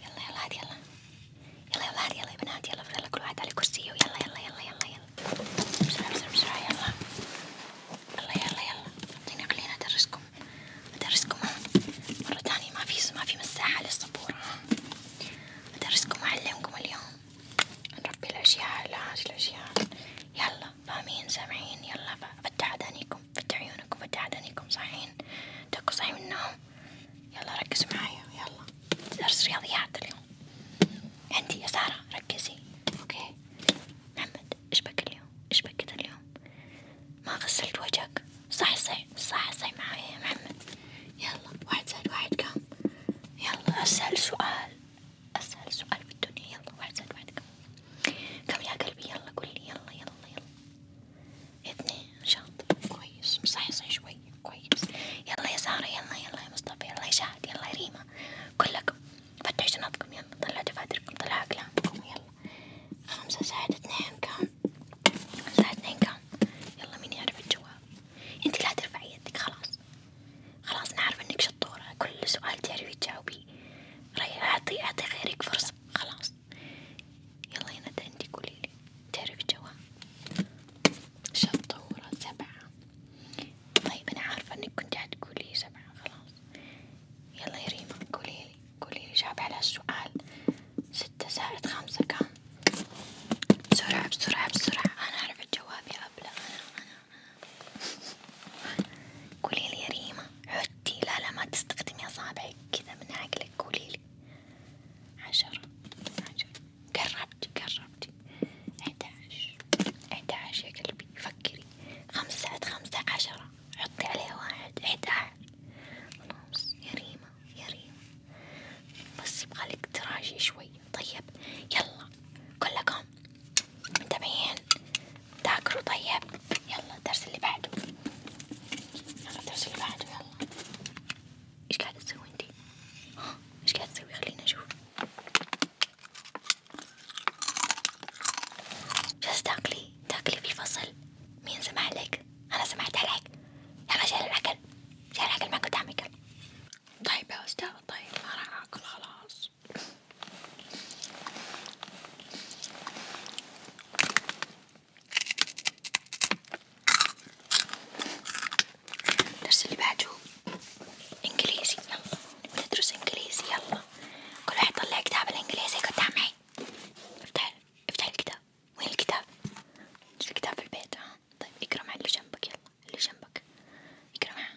يلا يلا عاد يلا يلا يلا عاد يلا يا بنات يلا يلا كل واحد على كرسيه ويلا يلا يلا يلا يلا بسرعة بسرعة بسرعة يلا يلا يلا يلا خليني خليني أدرسكم أدرسكم ها مرة تانية ما في ما في مساحة للصبور ها أدرسكم وأعلمكم اليوم نربي الأشياء العاج الأشياء يلا فاهمين سامعين يلا فتحوا أدانيكم عيونكم فتحوا عيونكم فتح عينيكم صاحيين تكوا صاحيين من النوم يلا ركزوا معايا يلا درس رياضيات اليوم عندي يا سارة ركزي اوكي محمد ايش بك اليوم ايش بكت اليوم ما غسلت وجهك صح صح صح صح معايا يا محمد يلا واحد زائد واحد كم يلا اسهل سؤال اسهل سؤال في الدنيا يلا واحد زائد واحد كم كم يا قلبي يلا قولي يلا يلا يلا اثنين شاطر كويس مصحصح شوي كويس يلا يا سارة يلا يلا يا مصطفى يلا يا شهد يلا يا ريما كلكم فتحوا شنطكم يلا طلعوا دفاتركم طلعوا أقلامكم يلا خمسة زائد اثنين كم؟ زائد اثنين كم؟ يلا مين يعرف الجواب؟ انت لا ترفعي يدك خلاص خلاص أنا عارفة إنك شطورة كل سؤال تعرفي تجاوبيه رأي أعطي أعطي غيرك فرصة خلاص يلا يا ندى انتي قوليلي تعرفي الجواب شطورة سبعة طيب أنا عارفة إنك كنت حتقولي سبعة خلاص يلا يا ريما قوليلي قوليلي جاوبي على السؤال ستة زائد خمسة كام؟ بسرعة بسرعة بسرعة أنا أعرف الجواب يا أبلة أنا أنا أنا قوليلي يا ريما حطي لا لا ما تستخدمي أصابعك كذا من عقلك قوليلي عشرة عشرة قربتي قربتي إحداش إحداش يا قلبي فكري خمسة خمسة عشرة حطي عليها واحد إحداش خلاص يا ريما يا ريما بس يبغالك تراجعي شوية طيب يلا كلكم تبين تاكلوا طيب يلا الدرس اللي بعده يلا الدرس اللي بعده يلا ايش قاعدة تسوي انتي؟ ايش قاعدة تسوي خليني اشوف جالسة تاكلي تاكلي في الفصل مين سمح لك؟ انا سمحت عليك يلا شيل الاكل شيل الاكل ما قدامك طيب يا استاذ طيب ما راح اكل خلاص الدرس اللي بعده انجليزي يلا بندرس انجليزي يلا كل واحد طلع كتاب الانجليزي قدام معي افتح افتح الكتاب وين الكتاب؟ مش الكتاب في البيت ها طيب اقرا مع اللي جنبك يلا اللي جنبك اقرا معاه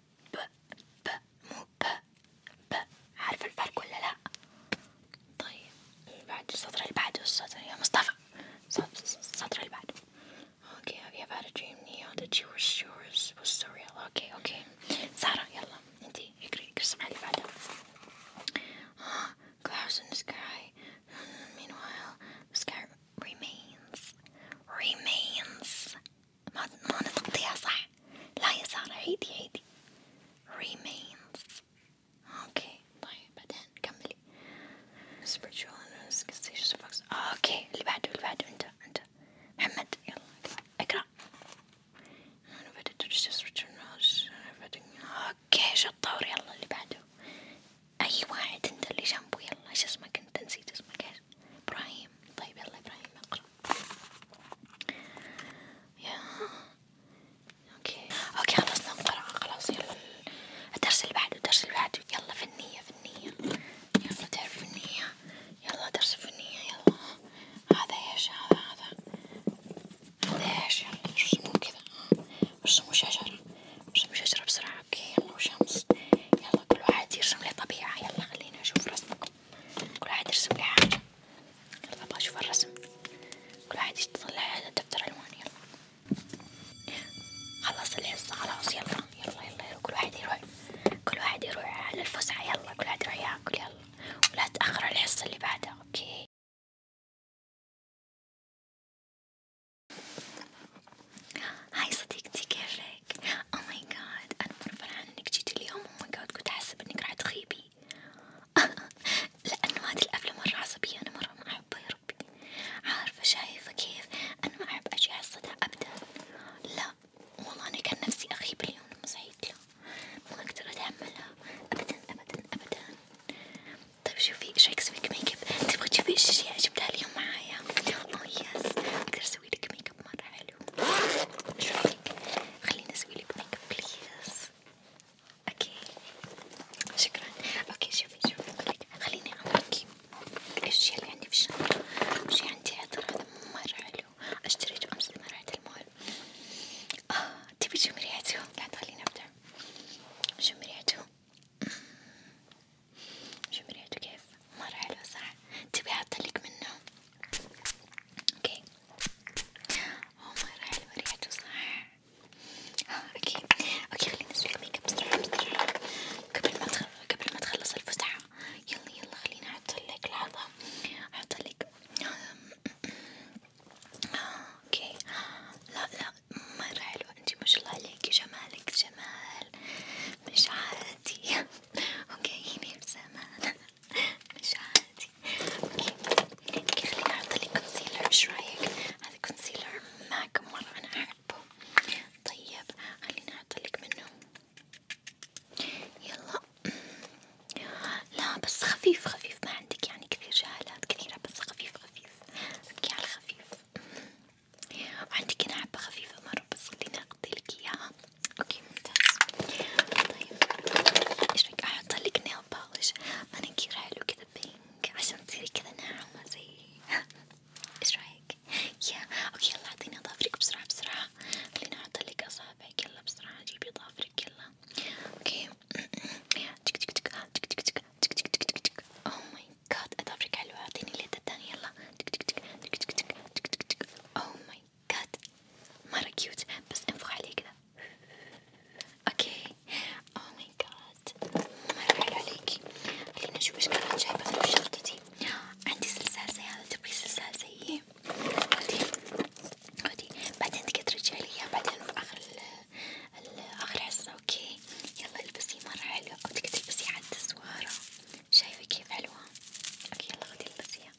ب ب مو ب ب عارفة الفرق ولا لأ؟ طيب بعد السطر اللي بعده السطر يا مصطفى السطر اللي بعده اوكي have you ever had a dream Neo that you were sure was surreal اوكي اوكي سارة يلا انتي اقري اقري الصفحة اللي بعدها آه clouds in the sky meanwhile the sky remains remains ما ما نطقتيها صح لا يا سارة عيدي عيدي remains اوكي طيب بعدين كملي اوكي اللي بعده اللي بعده انت انت محمد يلا اقرا اوكي شطور يلا اللي بعده اي واحد انت اللي جنبه يلا ايش اسمك انت نسيت اسمك ايش ابراهيم طيب يلا ابراهيم اقرا ياه اوكي اوكي خلصنا القرعة خلاص يلا الدرس اللي بعده الدرس اللي بعده يلا في النية في النية يلا درس في النية يلا درس في النية يلا هذا ايش هذا هذا هذا ايش يلا رسموا كذا رسموا شجرة رسموا شجرة بسرعة اوكي يلا وشمس يلا كل واحد يرسم لي طبيعة يلا خليني اشوف رسمكم كل واحد يرسم لي حاجة يلا ابغى اشوف الرسم كل واحد يطلع على دفتر الوان يلا خلص الحصة خلاص يلا يلا يلا كل واحد يروح كل واحد يروح على الفسحة يلا كل واحد يروح ياكل يلا ولا تأخر الحصة اللي بعدها اوكي هاي صديقتي كيفك عليك او ماي جاد انا مرة فرحانة انك جيتي اليوم او ماي جاد كنت احسب انك راح تغيبي لانه هذه القفلة مرة عصبية انا مرة ما احبها يا ربي عارفة شايفة كيف انا ما احب اجي على الصدى ابدا لا والله انا كان نفسي اغيب اليوم لما صحيت لا ما اقدر اتحملها ابدا ابدا ابدا طيب شوفي ايش رايك اسويلك ميك اب تبغي تشوفي ايش اشياء جبتها اليوم معايا اوه oh يس اقدر اسويلك ميك اب مرة حلو شو رأيك؟ خليني اسويلي بميك بليز اوكي شكرا اوكي شوفي شوفي خليني اوريكي الاشياء اللي عندي في الشنطة وشي عندي عطر هذا مرة حلو اشتريته امس لما رحت المول اه تبي تشمي ريحته؟ لا تخليني ابدع شمي ريحته شو مريحته كيف؟ مرة حلو صح؟ تبي أحطلك منه؟ اوكي هو مرة حلو ريحته صح؟ ها اوكي اوكي خليني اسلك ميك اب بسرعة بسرعة قبل ما تخلص قبل ما تخلص الفسحة يلا يلا خليني أحطلك لحظة أحطلك اوكي لا لا مرة حلوة انتي ما شاء الله عليكي جمالك جمال مش عادي وجايين بزمان مش عادي اوكي اوكي خليني احطلك كونسيلر ايش رايك؟ هذا كونسيلر ماك مرة انا احبه طيب خليني احطلك منه يلا لا بس خفيف خفيف ما عندك يعني كثير جهالات كثيرة بس خفيف خفيف اوكي على الخفيف وعندي كنا حبة خفيفة مرة بس اللي نقضيلك إياها اوكي ممتاز طيب ايش رأيك احطلك نيل باليش مانيكير حلو كذا بينك عشان تصيري كذا ناعمة زي ايش رأيك؟ يا اوكي يلا اعطيني اظافرك بسرعة بسرعة خليني احطلك اصابعك يلا بسرعة جيبي اظافرك يلا اوكي تك تك تك تك تك تك تك تك تك اوه ماي oh جاد اظافرك حلوة اعطيني اليد الثانية يلا تك تك تك تك تك تك تك تك تك اوه ماي جاد مرة كيوت بس انفخ عليه كذا اوكي اوه ماي جاد مرة حلو عليكي خليني اشوف ايش كانت جايبة انا في شنطتي عندي سلسال زي هذا تبغي سلسال زيه إيه؟ خذي خذي بعدين تقدري ترجعي لي اياه بعدين في اخر ال اخر حصة اوكي يلا البسي مرة حلوة بدك تلبسي على التسوارة شايفة كيف حلوة اوكي يلا خدي البسيها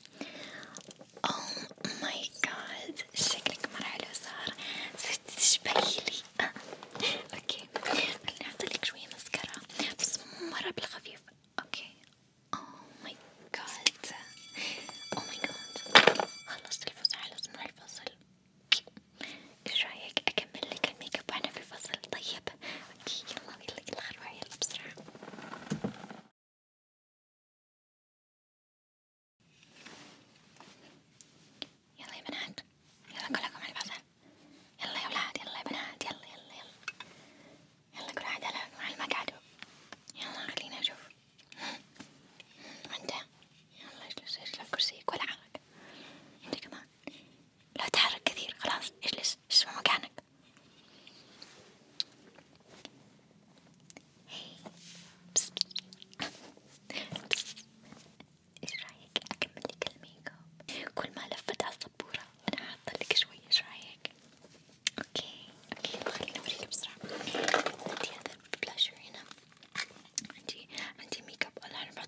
اوه oh ماي جاد شكلك مرة حلو صار صرتي تشبهيلي اوكي خليني احطلك شوية مسكرة بس مرة بالخفيف اوكي اوه ماي جاد اوه ماي جاد خلصت الفسحة لازم نروح الفصل ايش رايك اكمل لك الميك اب واحنا في الفصل طيب؟ اوكي يلا يلا يلا روحي يلا بسرعة يلا يا بنات يلا كلكم على الفصل يلا يا ولاد يلا يا بنات يلا يلا يلا يلا كل واحد على مقعده يلا خليني اشوف وانت يلا اجلس اجلس على كرسيك ولا عارك انت كمان لا تحرك كثير خلاص اجلس اسمه مكانك ايش رايك اكمل لك الميك اب كل ما لفت على السبوره انا حاطه لك شوي ايش رايك اوكي اوكي خليني اوريك بسرعه عندي هذا البلاشر هنا عندي عندي ميك اب الحين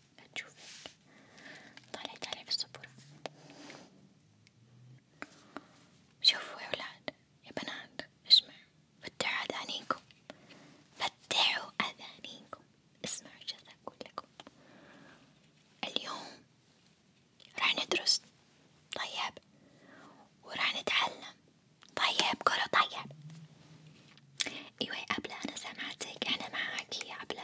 هتشوفك طلعت عليه بالسبورة شوفوا يا ولاد يا بنات اسمعوا فتحوا أذانيكم فتحوا أذانيكم اسمعوا ايش أقول لكم اليوم راح ندرس طيب وراح نتعلم طيب كرة طيب ايوه يا أبلة انا سمعتك انا معاكي يا أبلة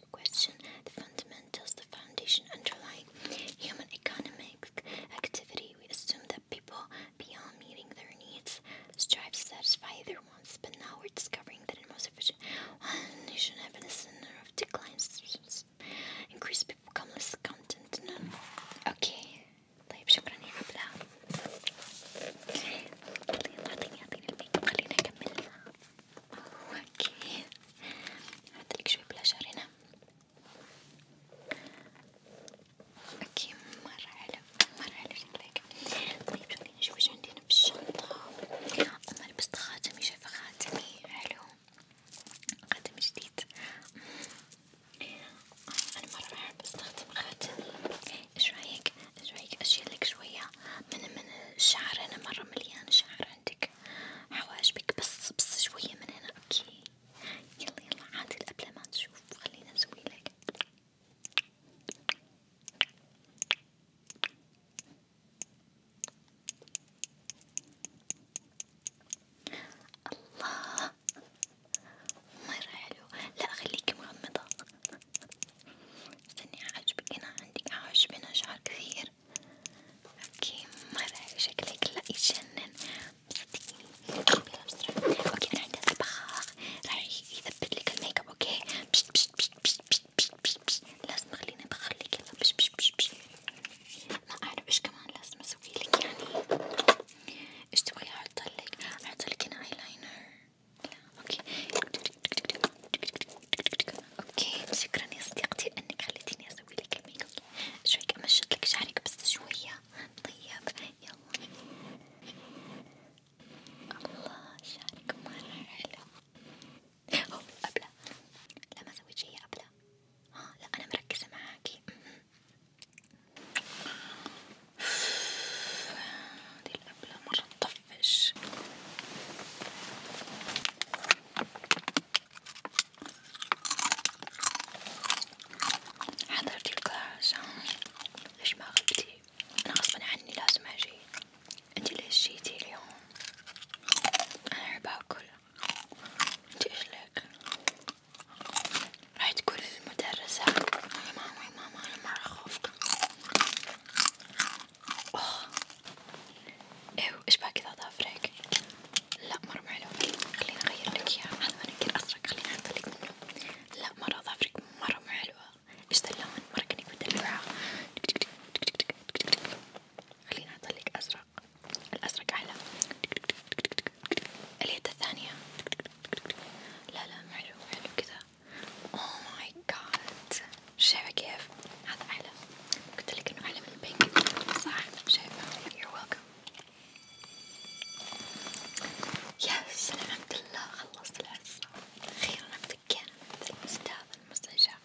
question the fundamentals, the foundation underlying human economic activity. We assume that people, beyond meeting their needs, strive to satisfy their wants, but now we're discovering that in most efficient one nation have a center of declines. Increased people become less content. Okay. طيب شكرا يا عبلة خلينا نكمل اوكي هاتلك شوي بلاشر هنا اوكي مرة حلو مرة حلو شكلك طيب خليني نشوف ايش عندي هنا في الشنطة اما لبست خاتمي شايفة خاتمي حلو خاتم جديد أمم. انا مرة بحب استخدم خاتمي ايش رايك شويك أشيلك شوية من من الشعر أنا مرة مليان شعر عندك حواجبك بس بس شوية من هنا أوكي يلا يلا عادي قبل ما تشوف خلينا نسوي لك الله مرة حلو لا خليكي مغمضة استني أعجبك أنا عندك أعجبنا شعر كثير اوكي مرة شكلك لا يجنن صدقيني بلا بسرعة اوكي أنا عندي طباخ راح يثبت لك الميك اب اوكي بشت بشت بشت بشت بشت بشت بشت لازم أخليني بخليك يلا بشت بشت بشت بشت ما أعرف إيش كمان لازم أسويلك يعني إيش تبغي أحطلك؟ أحطلك هنا أيلاينر اوكي اوكي شكرا يا صديقتي انك خليتيني اسوي لك الميك اب ايش رايك امشط لك شعرك بس شويه طيب يلا الله شعرك مرة حلو اوه أبلة لا ما سويت شي يا أبلة ها آه، لا أنا مركزة معاكي أمم. هذي بلا مرة تطفش حضرتي الكلاس ليش ما غبتي؟ أنا غصبا عني لازم أجي، أنتي ليش جيتي اليوم؟ أنا أحب أكل، أنتي إيش لك؟ راح تقول للمدرسة يا ماما يا ماما أنا مرة خفت اوه ايوه ايش بقى كذا ضافرك لا مرة حلو خليني اغير لك اياه هذا منكر ازرق خليني احط لك منه لا مرة ضافرك مرة مو حلوة ايش ذا اللون مرة كاني بدلعها خليني احط لك ازرق الازرق احلى اليد الثانية لا لا مو حلو حلو كذا اوه ماي جاد شايفة كيف؟ هذا أحلى قلتلك انه أحلى من البينك صح شايفة يور ويلكم يا سلام الحمد لله خلصت العزة أخيرا ابتكينا من ذا المستهبل المستنشق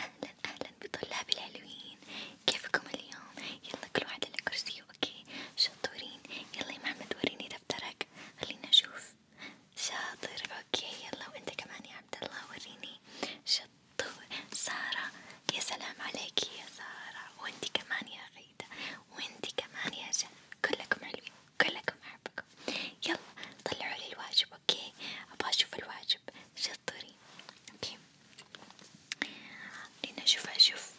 أهلا أهلا بطلاب الحلوين كيفكم اليوم؟ يلا كل واحد على كرسيه اوكي شطورين يلا يا محمد وريني دفترك خلينا نشوف شاطر اوكي يلا وانت كمان يا عبد الله وريني شطور سارة يا سلام عليك يا سارة وانت كمان يا غيدة وانت كمان يا جن كلكم حلوين كلكم احبكم يلا طلعوا لي الواجب اوكي ابغى اشوف الواجب شطورين اوكي لنشوف أشوف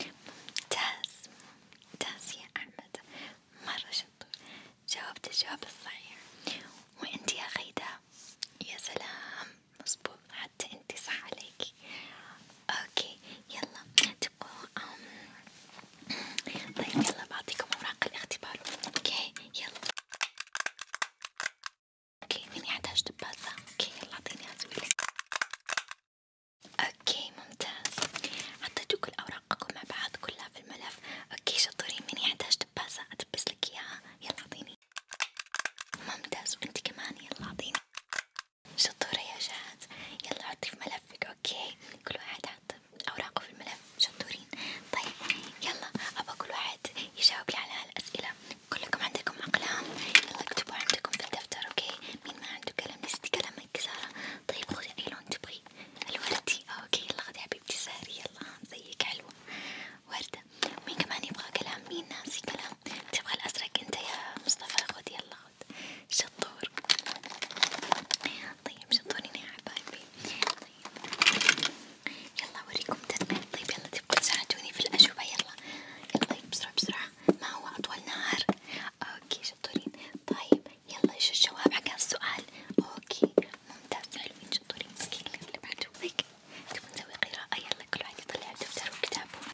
ممتاز ممتاز يا أحمد مرة شطور جاوبت الجواب الصحيح وأنت يا غيدا يا سلام مظبوط حتى أنت صح عليكي أوكي يلا تبغوا طيب يلا بعطيكم أوراق الاختبار أوكي يلا اوكي مني احتاج دباسة اوكي يلا اعطيني اسويلك اوكي ممتاز حطيتوا كل اوراقكم مع بعض كلها في الملف اوكي شطورين مني احتاج دباسة ادبس لك اياها يلا اعطيني ممتاز وانت كمان يلا اعطيني شطورة يا جهاز يلا حطي في ملفك اوكي كل واحد حط اوراقه في الملف شطورين طيب يلا ابى كل واحد يجاوب لي على هالاسئلة كلكم عندكم أقلام يلا اكتبوا عندكم في الدفتر اوكي مين ما عنده قلم نسيتي قلمك سارة طيب خذي أي لون تبغي الوردي اوكي يلا خذي حبيبتي ساري يلا زيك حلوة وردة مين كمان يبغى قلم مين ناسي قلم تبغى الأزرق انت يا مصطفى خذ يلا خذ شطور طيب شطورين يا حبايبي طيب يلا اوريكم تنميل طيب يلا تبقوا تساعدوني في الاجوبة يلا يلا بسرعة بسرعة ما هو اطول نهار اوكي شطورين طيب يلا ايش الجواب حق السؤال اوكي ممتاز حلوين شطورين مسكين اللي بعده هيك تبون نسوي قراءة يلا كل واحد يطلع دفتر وكتابه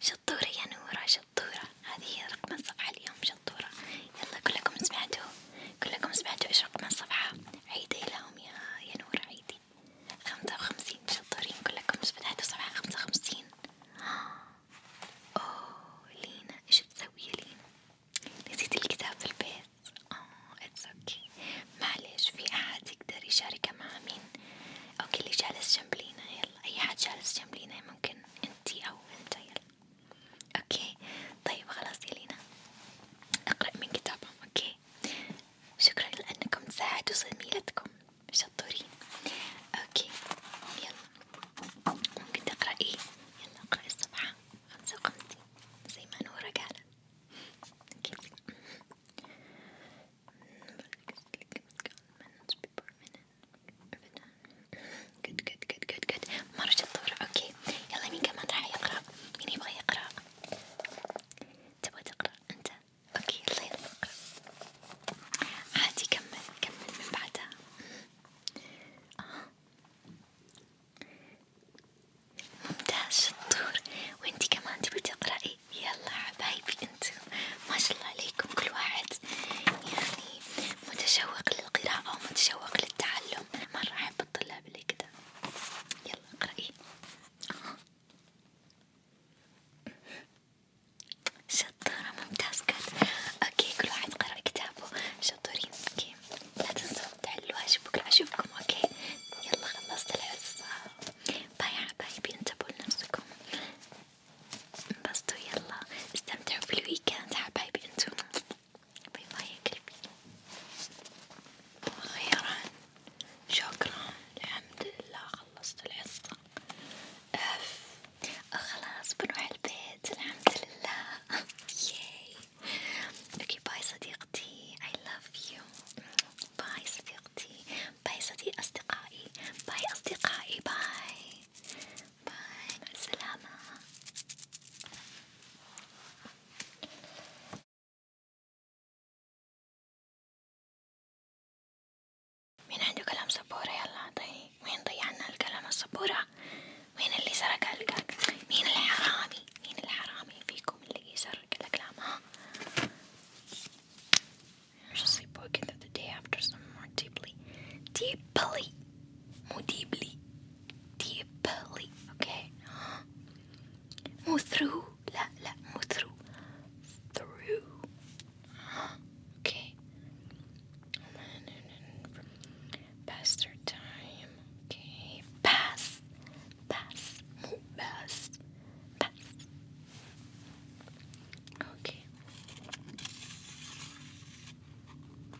شطورة يا نورة شطورة هذه هي رقم الصفحة اليوم شطورة يلا كلكم سمعتوا كلكم سمعتوا ايش رقم الصفحة عيدي لهم يا يا نورة عيدي خمسة وخمسين شطارين كلكم بس بدها تصبح خمسة وخمسين أوه لينا إيش بتسوي لينا؟ نسيت الكتاب في البيت أوه اتس اوكي معلش في أحد يقدر يشاركه مع مين؟ اوكي اللي جالس جنب لينا يلا أي حد جالس جنب لينا ممكن انتي أو انت يلا اوكي طيب خلاص يا لينا اقرأ من كتابهم اوكي أوكي شكرا لأنكم تساعدوا زميلتكم شطورين أوكي يلا ممكن تقرأ إيه؟ يلا اقرأي الصفحة خمسة وخمسين زي ما نورا قالت أوكي good good good good good مرة شطورة أوكي يلا مين كمان راح يقرأ؟ مين يبغى يقرأ؟ تبغى تقرأ أنت؟ أوكي الله يرضى عادي كمل كمل من بعدها آه. ممتاز شطور وانتي كمان تبي تقرأي يلا حبايبي انتو ما شاء الله عليكم كل واحد يعني متشوق للقراءة ومتشوق للتعلم مرة أحب الطلاب اللي كده يلا اقرأي إيه؟ آه. شطورة ممتاز كده اوكي كل واحد قرأ كتابه شطورين اوكي لا تنسوا تحلوا الواجب بكرة اشوفكم اوكي يلا خلصت الحصة باي حبايبي انتبهوا لنفسكم انبسطوا يلا استمتعوا في الويكند حبايبي انتم بما يكفي وأخيرا شكرا الحمد لله خلصت الحصة أف خلاص بنروح البيت الحمد لله ياي اوكي باي صديقتي I love you باي صديقتي باي صديق أصدقائي باي أصدقائي باي باي مع السلامة مين عنده قلم سبورة يلا اعطيني وين ضيعنا القلم السبورة مين اللي سرق القلم مين الحرامي مين الحرامي فيكم اللي يسرق الأقلام ها just sleepwalking through the day after some more deeply deeply مو deeply deeply. Okay. Move through. La la. Move through. Through. Okay. Pass their time. Okay. Pass. Pass. Pass. Pass. Okay.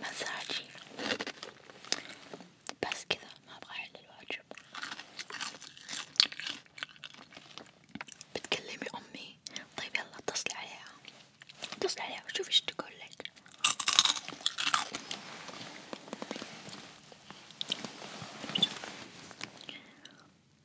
مساجي بس كذا ما ابغى احل الواجب بتكلمي امي طيب يلا اتصلي عليها اتصلي عليها وشوفي ايش تقول لك